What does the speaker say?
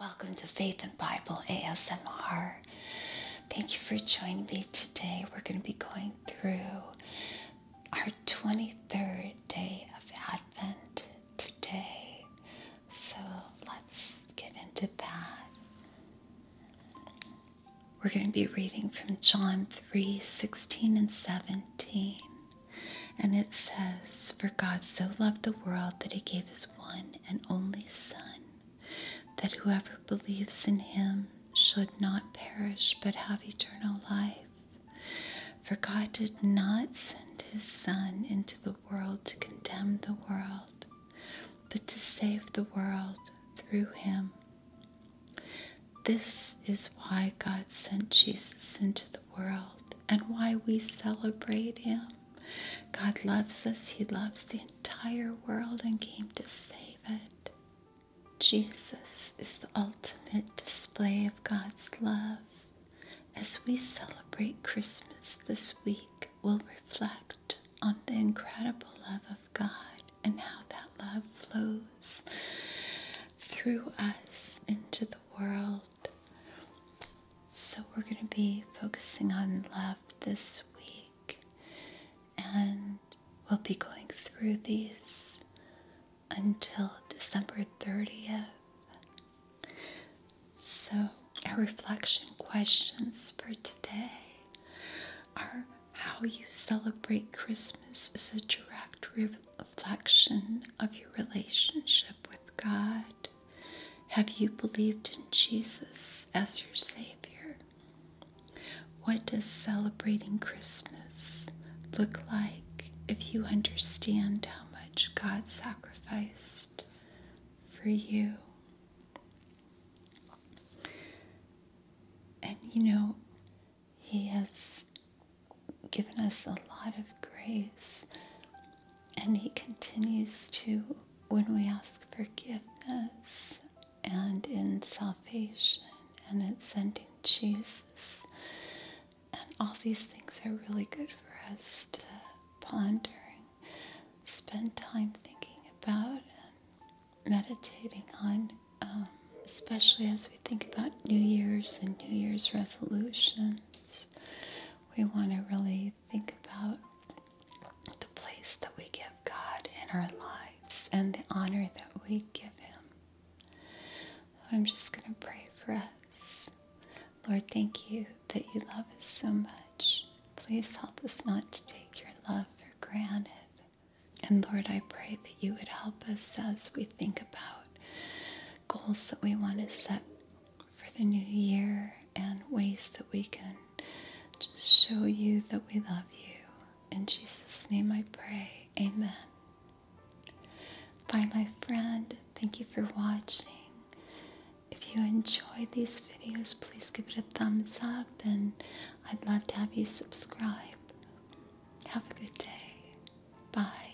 Welcome to Faith and Bible ASMR. Thank you for joining me today. We're going to be going through our 23rd day of Advent today. So let's get into that. We're going to be reading from John 3 16 and 17. And it says, For God so loved the world that he gave his one and only Son, that whoever believes in him should not perish but have eternal life. For God did not send his Son into the world to condemn the world, but to save the world through him. This is why God sent Jesus into the world and why we celebrate him. God loves us, he loves the entire world and came to save it. Jesus is the ultimate display of God's love as we celebrate Christmas this week, we'll reflect on the incredible love of God and how that love flows through us into the world. So, we're going to be focusing on love this week, and we'll be going through these until December 30th. So, our reflection questions for today are how you celebrate Christmas is a direct reflection of your relationship with God. Have you believed in Jesus as your Savior? What does celebrating Christmas look like if you understand how much God sacrificed for you? And you know, He has given us a lot of grace, and He continues to when we ask forgiveness and in salvation and ascending Jesus. And all these things are really good for us to ponder and spend time thinking about and meditating on, um, especially as we think about New Year's and New Year's resolutions. We want to really think about the place that we give God in our lives and the honor that we give Him. I'm just going to pray for us. Lord, thank you that you love us so much. Please help us not to take your love for granted. And Lord, I pray that you would help us as we think about goals that we want to set for the new year and ways that we can just show you that we love you. In Jesus' name I pray. Amen. Bye, my friend. Thank you for watching. If you enjoy these videos, please give it a thumbs up, and I'd love to have you subscribe. Have a good day. Bye.